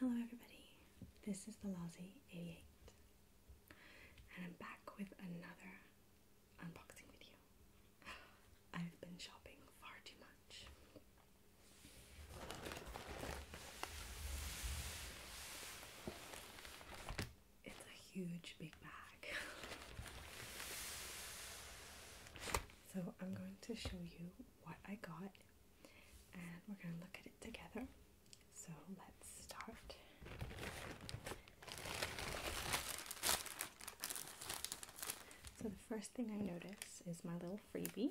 Hello, everybody. This is the Lousy 88, and I'm back with another unboxing video. I've been shopping far too much. It's a huge big bag. So, I'm going to show you what I got and we're going to look at it together. So let's start. So the first thing I notice is my little freebie.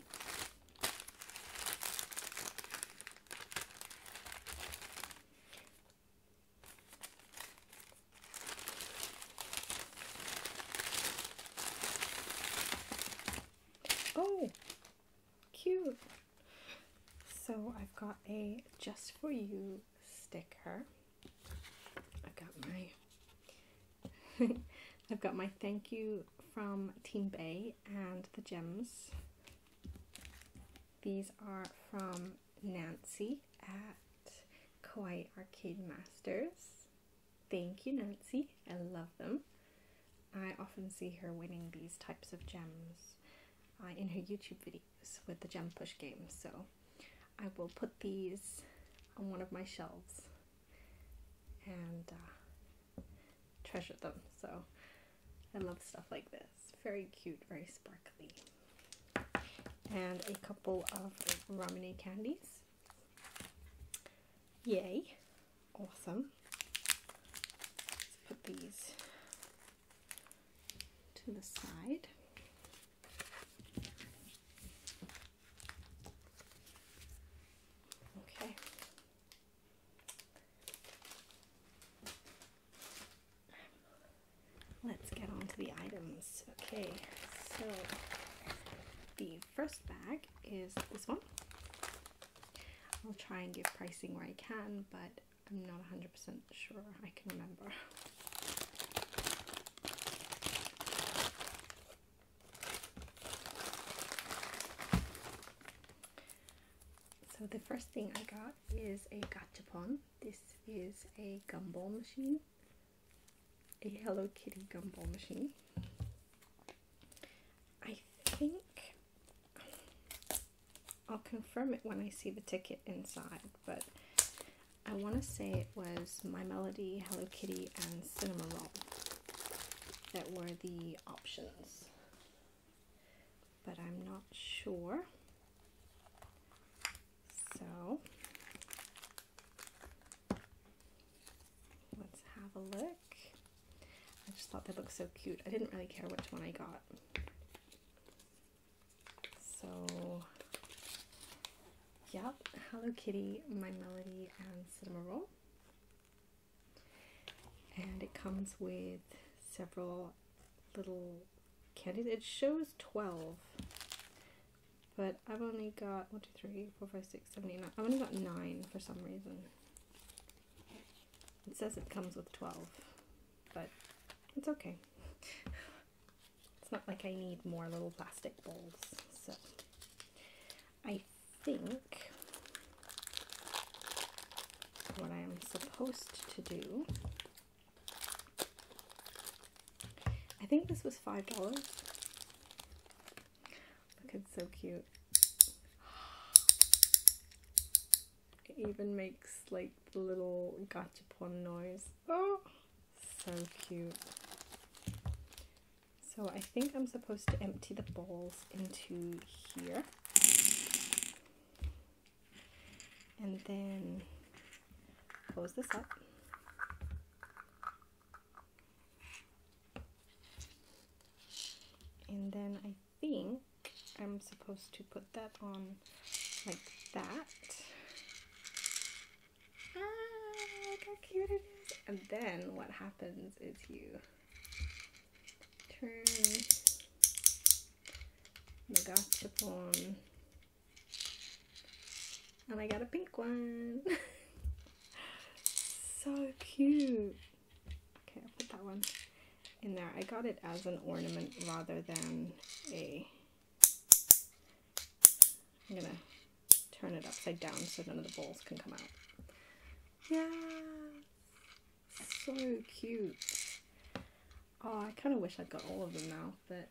Oh, cute. So I've got a just for you sticker. I've got my I've got my thank you from Team Bay and the gems. These are from Nancy at Kawaii Arcade Masters. Thank you, Nancy. I love them. I often see her winning these types of gems uh, in her YouTube videos with the gem push game, so I will put these on one of my shelves and uh, treasure them. So I love stuff like this. Very cute, very sparkly. And a couple of Ramune candies. Yay. Awesome. Let's put these to the side. Okay. Let's get on to the items. Okay, so the first bag is this one. I'll try and give pricing where I can, but I'm not 100% sure I can remember. So the first thing I got is a gachapon. This is a gumball machine a Hello Kitty gumball machine. I think I'll confirm it when I see the ticket inside, but I want to say it was My Melody, Hello Kitty, and Cinema Roll that were the options, but I'm not sure. So Let's have a look. I just thought they looked so cute. I didn't really care which one I got. So, yep, Hello Kitty, My Melody, and Cinema Roll. And it comes with several little candies. It shows 12, but I've only got 1, 2, 3, 4, 5, 6, 7, 9. I've only got 9 for some reason. It says it comes with 12, but it's okay. it's not like I need more little plastic bowls, so I think what I am supposed to do. I think this was $5. Look, it's so cute. It even makes like the little gachapon noise. Oh, so cute. So I think I'm supposed to empty the balls into here. And then close this up and then I think I'm supposed to put that on like that. Ah, look how cute it is. And then what happens is you turn the gachapon and I got a pink one. so cute. Okay, I'll put that one in there. I got it as an ornament rather than a... I'm gonna turn it upside down so none of the balls can come out. Yeah, so cute. Oh, I kind of wish I'd got all of them now, but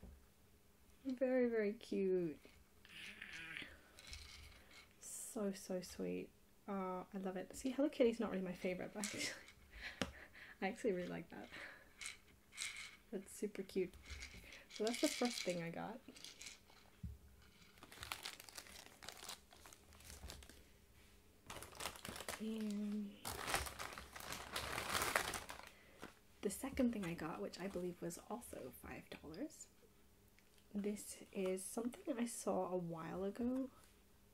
very, very cute. So, so sweet. Oh, I love it. See, Hello Kitty's not really my favourite, but I actually really like that. That's super cute. So that's the first thing I got. the second thing I got, which I believe was also $5, this is something I saw a while ago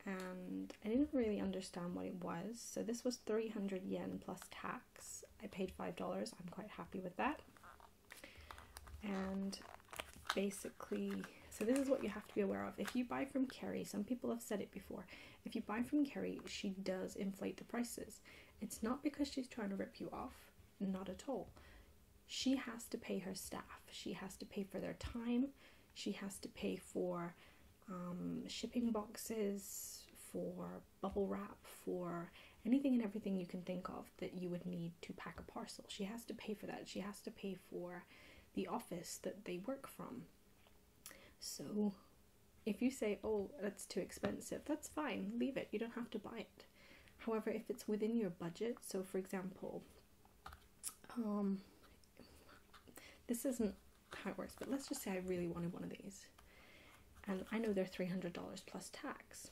and I didn't really understand what it was. So this was 300 yen plus tax. I paid $5. I'm quite happy with that. And basically, so this is what you have to be aware of. If you buy from Kerry, some people have said it before, if you buy from Kerry, she does inflate the prices. It's not because she's trying to rip you off. Not at all. She has to pay her staff, she has to pay for their time, she has to pay for um, shipping boxes, for bubble wrap, for anything and everything you can think of that you would need to pack a parcel. She has to pay for that. She has to pay for the office that they work from. So if you say, oh, that's too expensive, that's fine, leave it. You don't have to buy it. However, if it's within your budget, so for example, um, this isn't how it works, but let's just say I really wanted one of these, and I know they're three hundred dollars plus tax.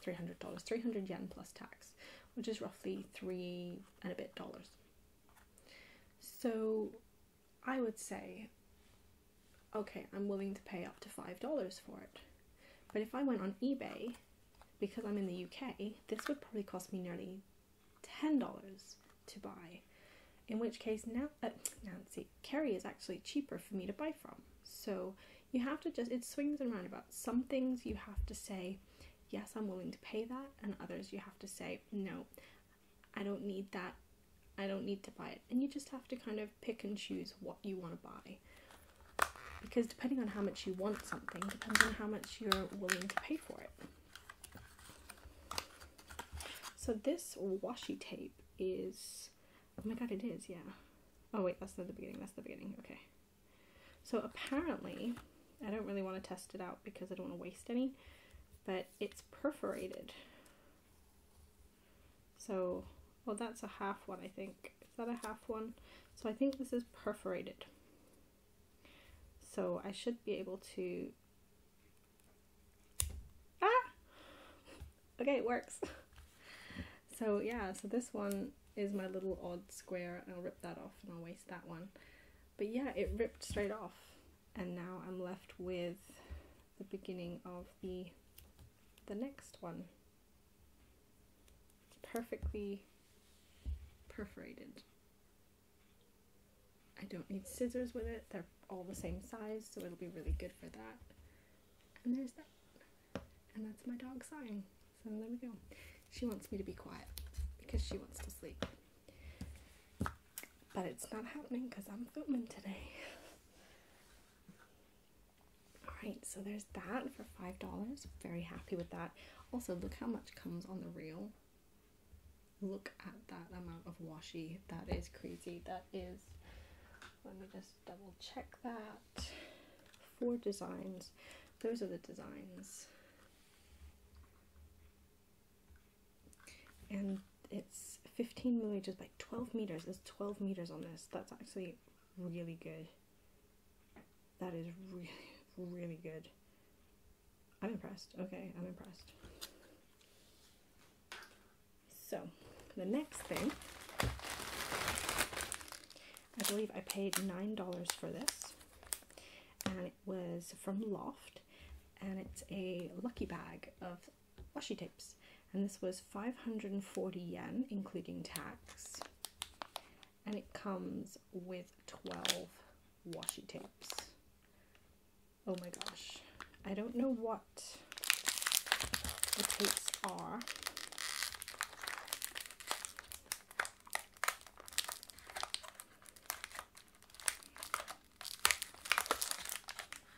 Three hundred dollars, three hundred yen plus tax, which is roughly three and a bit dollars. So, I would say okay, I'm willing to pay up to $5 for it. But if I went on eBay, because I'm in the UK, this would probably cost me nearly $10 to buy. In which case, now uh, Nancy Kerry is actually cheaper for me to buy from. So you have to just, it swings and roundabouts. Some things you have to say, yes, I'm willing to pay that, and others you have to say, no, I don't need that I don't need to buy it. And you just have to kind of pick and choose what you want to buy. Because depending on how much you want something, depends on how much you're willing to pay for it. So this washi tape is, oh my god it is, yeah. Oh wait, that's not the beginning, that's the beginning, okay. So apparently, I don't really want to test it out because I don't want to waste any, but it's perforated. So, well that's a half one I think. Is that a half one? So I think this is perforated. So I should be able to, ah! Okay, it works. so yeah, so this one is my little odd square I'll rip that off and I'll waste that one. But yeah, it ripped straight off and now I'm left with the beginning of the the next one perfectly perforated I don't need scissors with it they're all the same size so it'll be really good for that and there's that and that's my dog sighing so there we go she wants me to be quiet because she wants to sleep but it's not happening because I'm filming today all right, so there's that for five dollars. Very happy with that. Also, look how much comes on the reel. Look at that amount of washi. That is crazy. That is. Let me just double check that. Four designs. Those are the designs. And it's 15 millimeters by 12 meters. It's 12 meters on this that's actually really good. That is really, really good. I'm impressed. Okay, I'm impressed. So, the next thing, I believe I paid $9 for this, and it was from Loft, and it's a lucky bag of washi tapes and this was 540 yen including tax and it comes with 12 washi tapes oh my gosh i don't know what the tapes are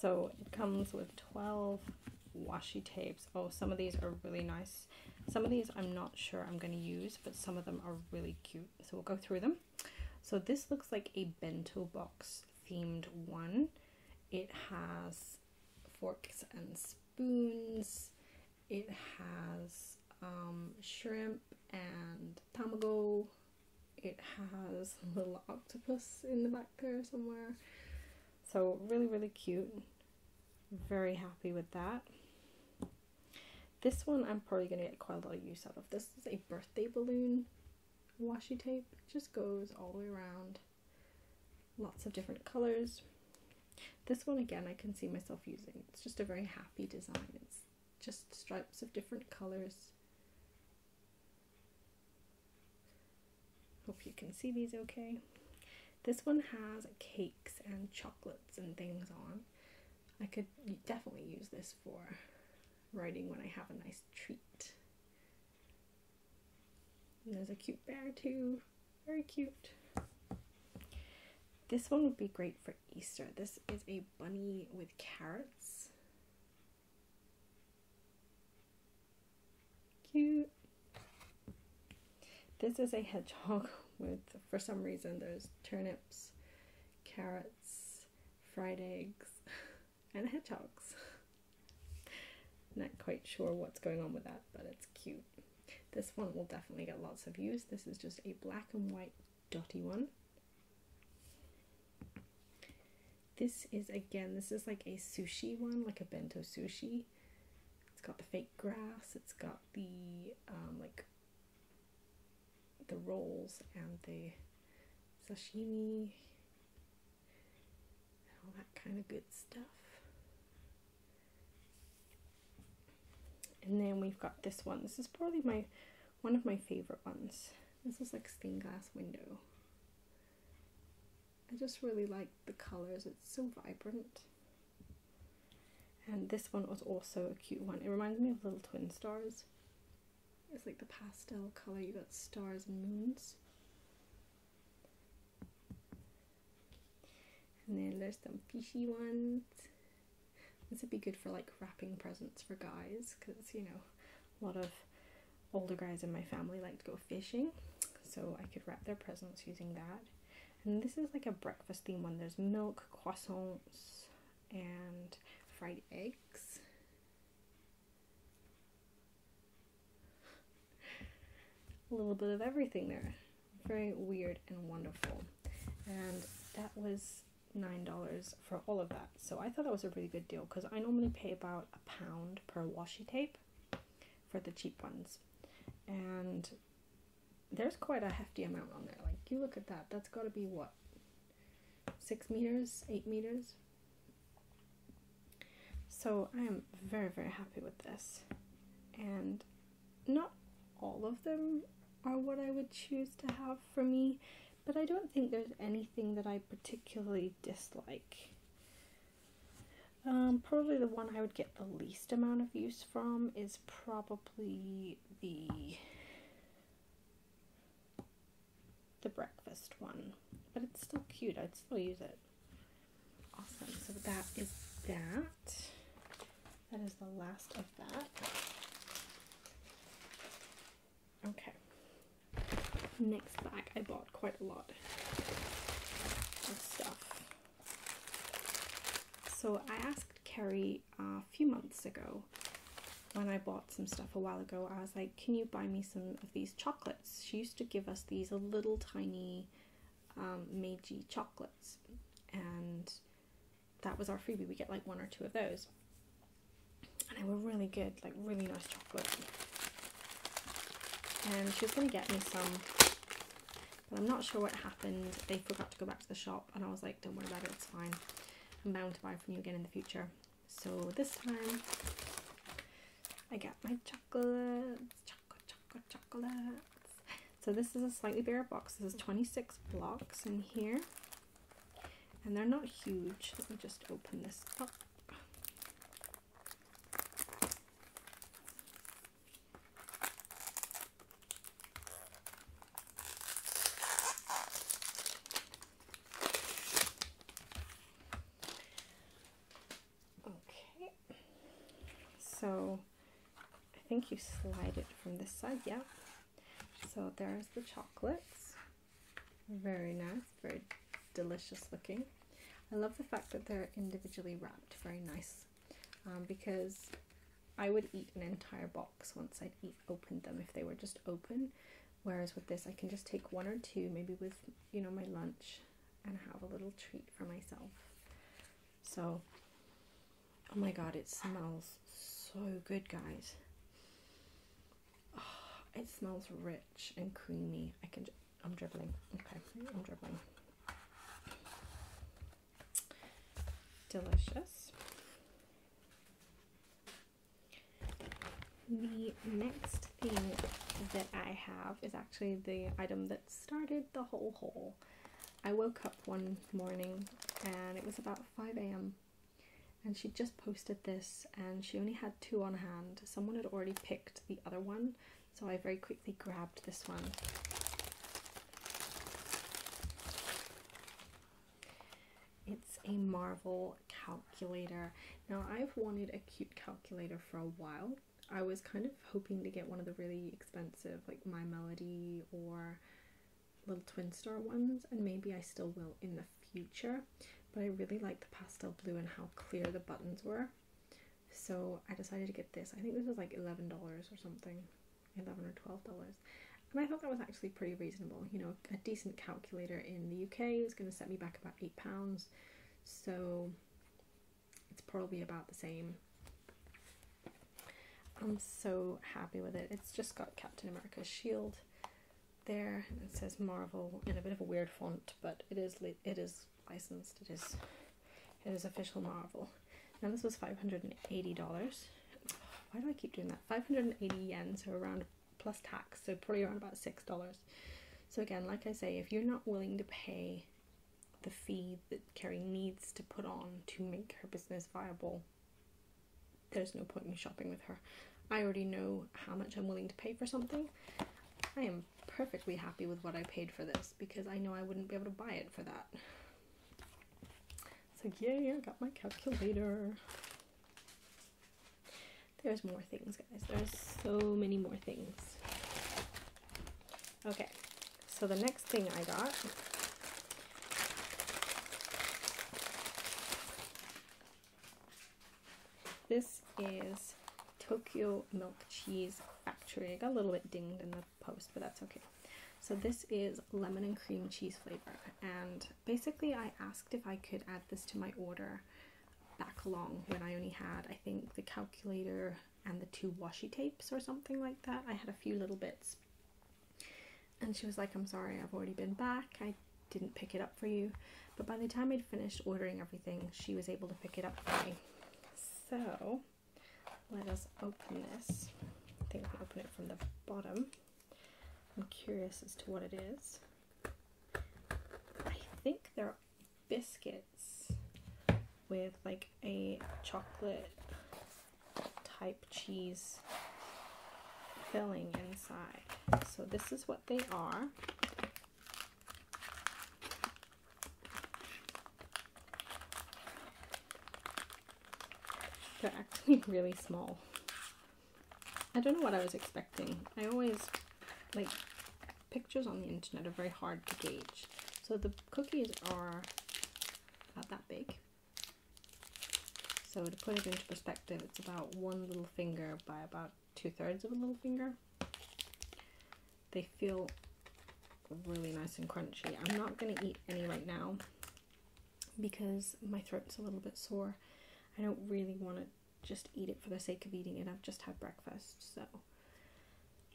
so it comes with 12 washi tapes. Oh, some of these are really nice. Some of these I'm not sure I'm going to use, but some of them are really cute so we'll go through them. So this looks like a bento box themed one. It has forks and spoons. It has um, shrimp and tamago. It has a little octopus in the back there somewhere. So really, really cute. Very happy with that. This one I'm probably going to get quite a lot of use out of. This is a birthday balloon washi tape. just goes all the way around. Lots of different colors. This one again I can see myself using. It's just a very happy design. It's just stripes of different colors. Hope you can see these okay. This one has cakes and chocolates and things on. I could definitely use this for writing when I have a nice treat. there's a cute bear too. Very cute. This one would be great for Easter. This is a bunny with carrots. Cute. This is a hedgehog with, for some reason, there's turnips, carrots, fried eggs, and hedgehogs. Not quite sure what's going on with that, but it's cute. This one will definitely get lots of views. This is just a black and white dotty one. This is, again, this is like a sushi one, like a bento sushi. It's got the fake grass. It's got the, um, like, the rolls and the sashimi and all that kind of good stuff. And then we've got this one. This is probably my one of my favorite ones. This is like stained glass window. I just really like the colors. It's so vibrant. And this one was also a cute one. It reminds me of little twin stars. It's like the pastel color. You got stars and moons. And then there's some fishy ones. This would be good for like wrapping presents for guys because you know a lot of older guys in my family like to go fishing so I could wrap their presents using that. And this is like a breakfast theme when There's milk, croissants, and fried eggs. a little bit of everything there. Very weird and wonderful. And that was $9 for all of that. So I thought that was a really good deal because I normally pay about a pound per washi tape for the cheap ones. And there's quite a hefty amount on there. Like, you look at that, that's got to be what? Six meters? Eight meters? So, I am very, very happy with this. And not all of them are what I would choose to have for me, but I don't think there's anything that I particularly dislike. Um, probably the one I would get the least amount of use from is probably the the breakfast one. But it's still cute. I'd still use it. Awesome. So that is that. That is the last of that. Okay. Next bag. I bought quite a lot of stuff. So I asked Carrie a few months ago when I bought some stuff a while ago. I was like, can you buy me some of these chocolates? She used to give us these little tiny um, Meiji chocolates, and that was our freebie. We get like one or two of those, and they were really good, like really nice chocolate. And she was going to get me some, but I'm not sure what happened. They forgot to go back to the shop and I was like, don't worry about it, it's fine. I'm bound to buy from you again in the future. So this time I got my chocolates, chocolate, chocolate, chocolates. So this is a slightly bare box. This is 26 blocks in here. And they're not huge. Let me just open this up. Okay, so I think you slide it from this side, yeah. So there's the chocolates. Very nice, very delicious looking. I love the fact that they're individually wrapped very nice um, because I would eat an entire box once I'd open them if they were just open. Whereas with this, I can just take one or two, maybe with you know my lunch, and have a little treat for myself. So, oh my god, it smells so good, guys. it smells rich and creamy. I can. I'm dribbling. Okay, I'm dribbling delicious. The next thing that I have is actually the item that started the whole haul. I woke up one morning and it was about 5 a.m. and she just posted this and she only had two on hand. Someone had already picked the other one so I very quickly grabbed this one it's a Marvel calculator. Now, I've wanted a cute calculator for a while. I was kind of hoping to get one of the really expensive, like My Melody or Little Twin Star ones, and maybe I still will in the future. But I really like the pastel blue and how clear the buttons were. So I decided to get this. I think this was like $11 or something. 11 or 12 dollars and i thought that was actually pretty reasonable you know a decent calculator in the uk is going to set me back about 8 pounds so it's probably about the same i'm so happy with it it's just got captain america's shield there and it says marvel in a bit of a weird font but it is it is licensed it is it is official Marvel, Now this was five hundred and eighty dollars. Why do I keep doing that? Five hundred and eighty yen, so around plus tax, so probably around about six dollars. So again, like I say, if you're not willing to pay the fee that Carrie needs to put on to make her business viable, there's no point in shopping with her. I already know how much I'm willing to pay for something. I am perfectly happy with what I paid for this because I know I wouldn't be able to buy it for that. So, yay, I got my calculator. There's more things, guys. There's so many more things. Okay, so the next thing I got this is Tokyo Milk Cheese Factory. I got a little bit dinged in the post, but that's okay. So this is lemon and cream cheese flavor, and basically I asked if I could add this to my order back along when I only had, I think, the calculator and the two washi tapes or something like that. I had a few little bits. And she was like, I'm sorry, I've already been back. I didn't pick it up for you. But by the time I'd finished ordering everything, she was able to pick it up for me. So let us open this. I think we can open it from the bottom. I'm curious as to what it is. I think they're biscuits with like a chocolate type cheese filling inside. So this is what they are. They're actually really small. I don't know what I was expecting. I always, like, pictures on the internet are very hard to gauge. So the cookies are not that big. So to put it into perspective, it's about one little finger by about two thirds of a little finger. They feel really nice and crunchy. I'm not going to eat any right now because my throat's a little bit sore. I don't really want to just eat it for the sake of eating it. I've just had breakfast, so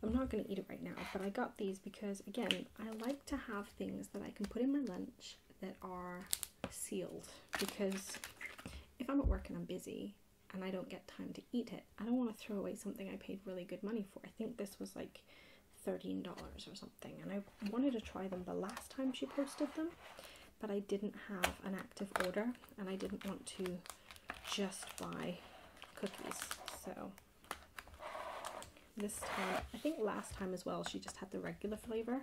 I'm not going to eat it right now. But I got these because, again, I like to have things that I can put in my lunch that are sealed because if I'm at work and I'm busy and I don't get time to eat it, I don't want to throw away something I paid really good money for. I think this was like $13 or something and I wanted to try them the last time she posted them but I didn't have an active order and I didn't want to just buy cookies so this time I think last time as well she just had the regular flavor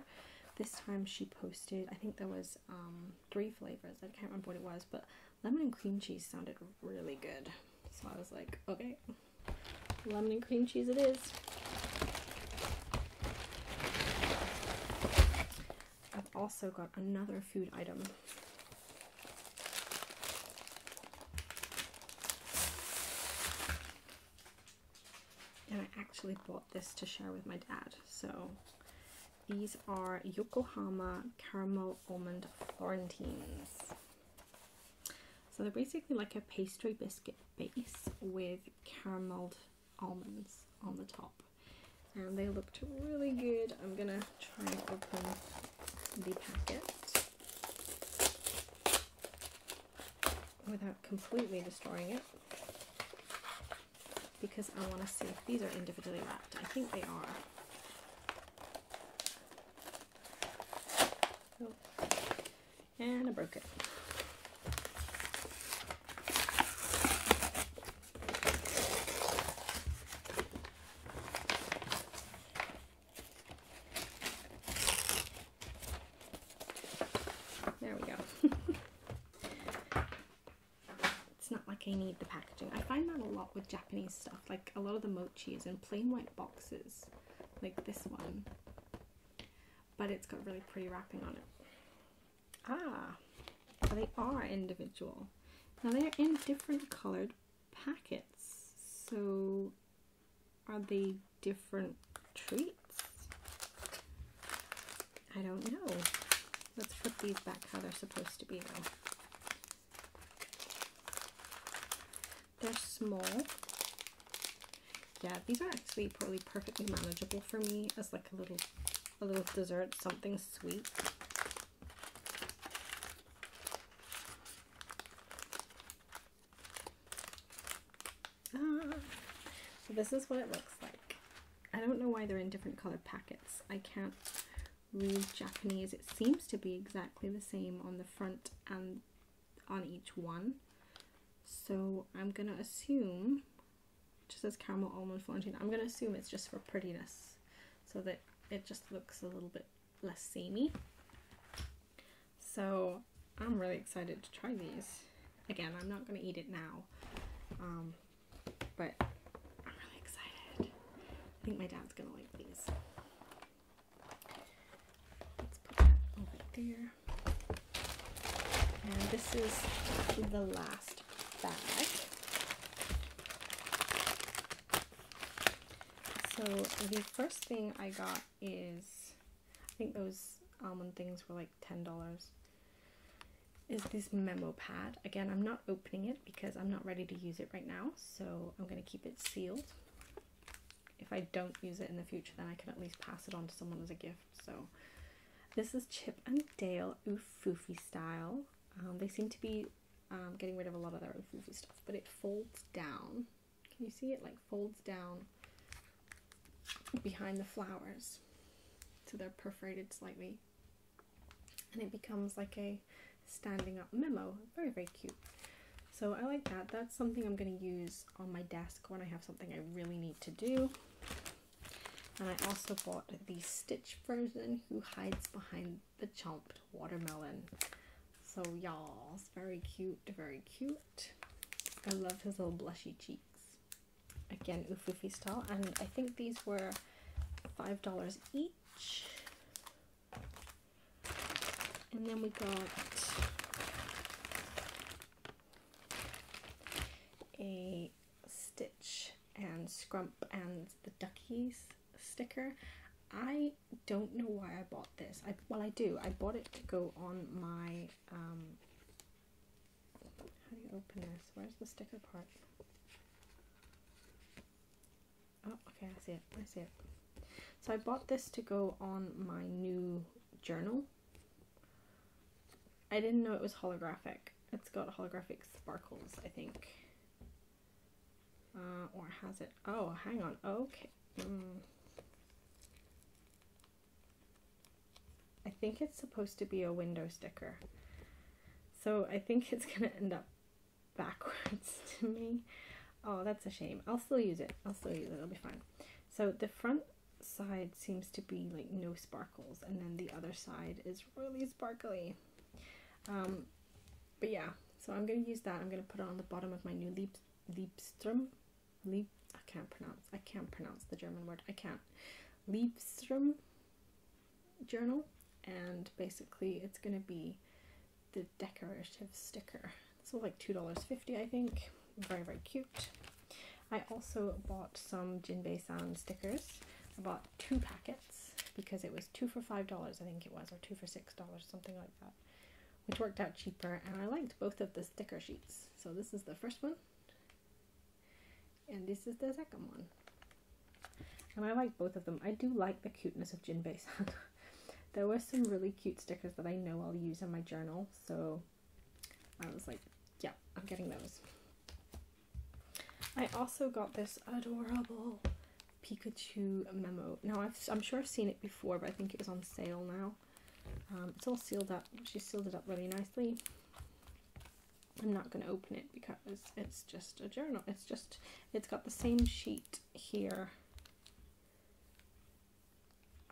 this time she posted I think there was um, three flavors I can't remember what it was but lemon and cream cheese sounded really good so I was like okay Lemon and cream cheese it is. I've also got another food item. And I actually bought this to share with my dad. So these are Yokohama Caramel Almond Florentines. So they're basically like a pastry biscuit base with caramelled almonds on the top. And they look really good. I'm gonna try and open the packet without completely destroying it because I want to see if these are individually wrapped. I think they are. And I broke it. There we go. it's not like I need the packaging. I find that a lot with Japanese stuff. Like a lot of the mochi is in plain white boxes like this one, but it's got really pretty wrapping on it. Ah, they are individual. Now they're in different colored packets. So are they different treats? I don't know. Let's put these back how they're supposed to be though. They're small. Yeah, these are actually probably perfectly manageable for me as like a little a little dessert, something sweet. Ah. So this is what it looks like. I don't know why they're in different colored packets. I can't read Japanese. It seems to be exactly the same on the front and on each one. So I'm gonna assume, just as caramel almond florentine, I'm gonna assume it's just for prettiness so that it just looks a little bit less samey. So I'm really excited to try these. Again, I'm not gonna eat it now, um, but I'm really excited. I think my dad's gonna like these. Let's put that over there. And this is the last bag. So the first thing I got is, I think those almond um, things were like $10 is this memo pad. Again, I'm not opening it because I'm not ready to use it right now, so I'm going to keep it sealed if I don't use it in the future, then I can at least pass it on to someone as a gift. So, this is Chip and Dale Oofoofy style. Um, they seem to be um, getting rid of a lot of their Oofoofy stuff, but it folds down. Can you see it? Like folds down behind the flowers, so they're perforated slightly, and it becomes like a standing up memo. Very, very cute. So I like that. That's something I'm going to use on my desk when I have something I really need to do. And I also bought the Stitch version who hides behind the chomped watermelon. So y'all, it's very cute, very cute. I love his little blushy cheeks. Again, Ufufi style. And I think these were $5 each. And then we got a Stitch and Scrump and the Duckies sticker. I don't know why I bought this. well, I do. I bought it to go on my, um, how do you open this? Where's the sticker part? Oh, okay, I see it. I see it. So I bought this to go on my new journal. I didn't know it was holographic. It's got holographic sparkles, I think. Uh, or has it? Oh, hang on. Okay. Mm. I think it's supposed to be a window sticker. So I think it's going to end up backwards to me. Oh, that's a shame. I'll still use it. I'll still use it. It'll be fine. So the front side seems to be like no sparkles and then the other side is really sparkly. Um, but yeah, so I'm going to use that. I'm going to put it on the bottom of my new Lieb Liebstrom. Lieb I can't pronounce. I can't pronounce the German word. I can't. Liebstrom journal. And basically it's going to be the decorative sticker. This was like $2.50 I think. Very, very cute. I also bought some Jinbei San stickers. I bought two packets because it was two for $5 I think it was or two for $6, something like that. Which worked out cheaper and I liked both of the sticker sheets. So this is the first one and this is the second one. And I like both of them. I do like the cuteness of Jinbei-san. there were some really cute stickers that I know I'll use in my journal, so I was like, yeah, I'm getting those. I also got this adorable Pikachu memo. Now, i am sure I've seen it before, but I think it was on sale now. Um, it's all sealed up. She sealed it up really nicely. I'm not going to open it because it's just a journal. It's just, it's got the same sheet here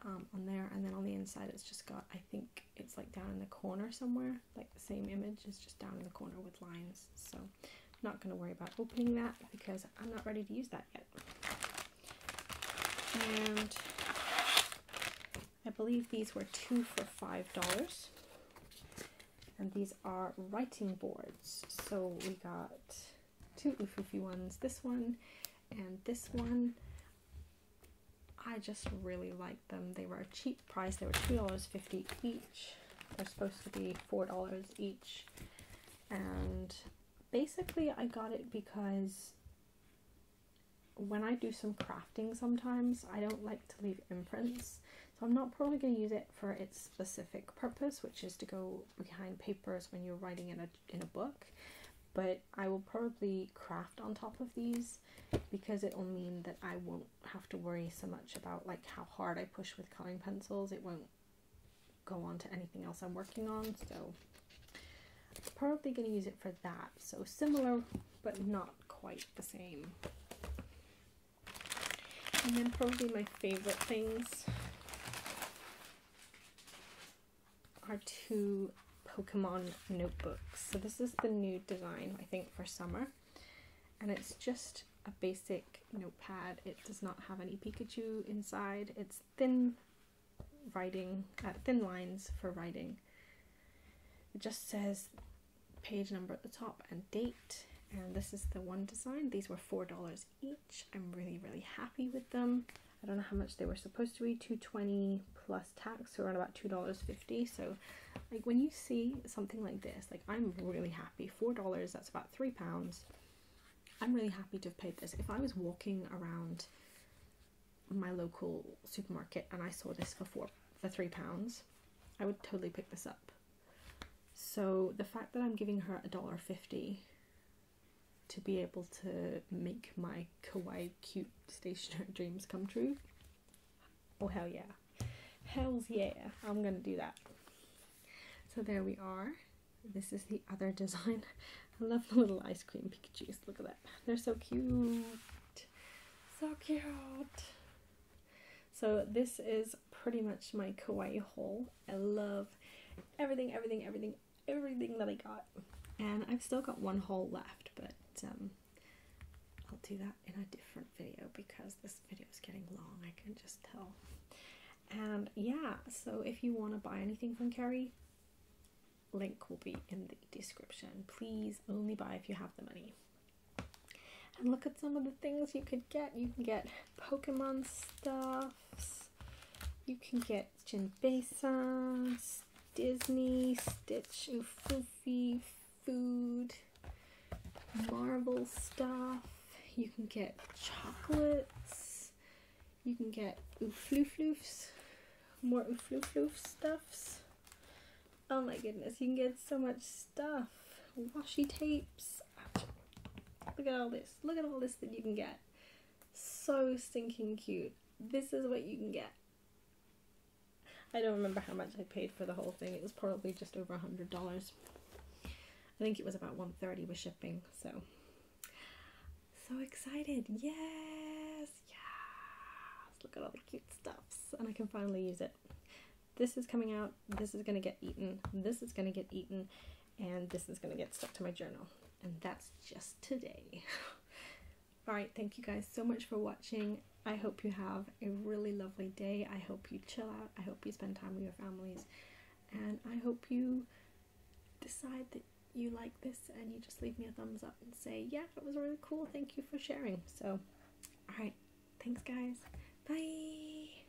um, on there and then on the inside it's just got I think it's like down in the corner somewhere like the same image is just down in the corner with lines so I'm not going to worry about opening that because I'm not ready to use that yet and I believe these were two for five dollars and these are writing boards so we got two oofoofy ones, this one and this one. I just really liked them. They were a cheap price. They were $2.50 each. They're supposed to be $4 each. And basically I got it because when I do some crafting sometimes, I don't like to leave imprints. So I'm not probably going to use it for its specific purpose, which is to go behind papers when you're writing in a in a book but I will probably craft on top of these because it'll mean that I won't have to worry so much about like how hard I push with coloring pencils. It won't go on to anything else I'm working on. So probably going to use it for that. So similar, but not quite the same. And then probably my favorite things are two Pokemon notebooks. So this is the new design, I think, for summer. And it's just a basic notepad. It does not have any Pikachu inside. It's thin writing, uh, thin lines for writing. It just says page number at the top and date. And this is the one design. These were $4 each. I'm really, really happy with them. I don't know how much they were supposed to be, 220 plus tax, so around about $2.50. So like when you see something like this, like I'm really happy. $4, that's about three pounds. I'm really happy to have paid this. If I was walking around my local supermarket and I saw this for four for three pounds, I would totally pick this up. So the fact that I'm giving her a dollar fifty to be able to make my kawaii cute stationary dreams come true. Oh hell yeah. Hells yeah, I'm gonna do that. So there we are. This is the other design. I love the little ice cream Pikachus. Look at that. They're so cute. So cute. So this is pretty much my kawaii haul I love everything, everything, everything, everything that I got. And I've still got one hole left, but um, I'll do that in a different video because this video is getting long, I can just tell. And yeah, so if you want to buy anything from Carrie, link will be in the description. Please only buy if you have the money. And look at some of the things you could get. You can get Pokemon stuff, you can get Jinbei-san, Disney, Stitch Oofy food, marble stuff. You can get chocolates. You can get oofloofloofs, more oofloofloof stuffs. Oh my goodness, you can get so much stuff. Washi tapes. Look at all this. Look at all this that you can get. So stinking cute. This is what you can get. I don't remember how much I paid for the whole thing. It was probably just over a hundred dollars. I think it was about 130 with shipping. So so excited. Yes. Yes. Look at all the cute stuffs and I can finally use it. This is coming out. This is going to get eaten. This is going to get eaten and this is going to get stuck to my journal and that's just today alright thank you guys so much for watching I hope you have a really lovely day I hope you chill out I hope you spend time with your families and I hope you decide that you like this and you just leave me a thumbs up and say yeah it was really cool thank you for sharing so alright thanks guys bye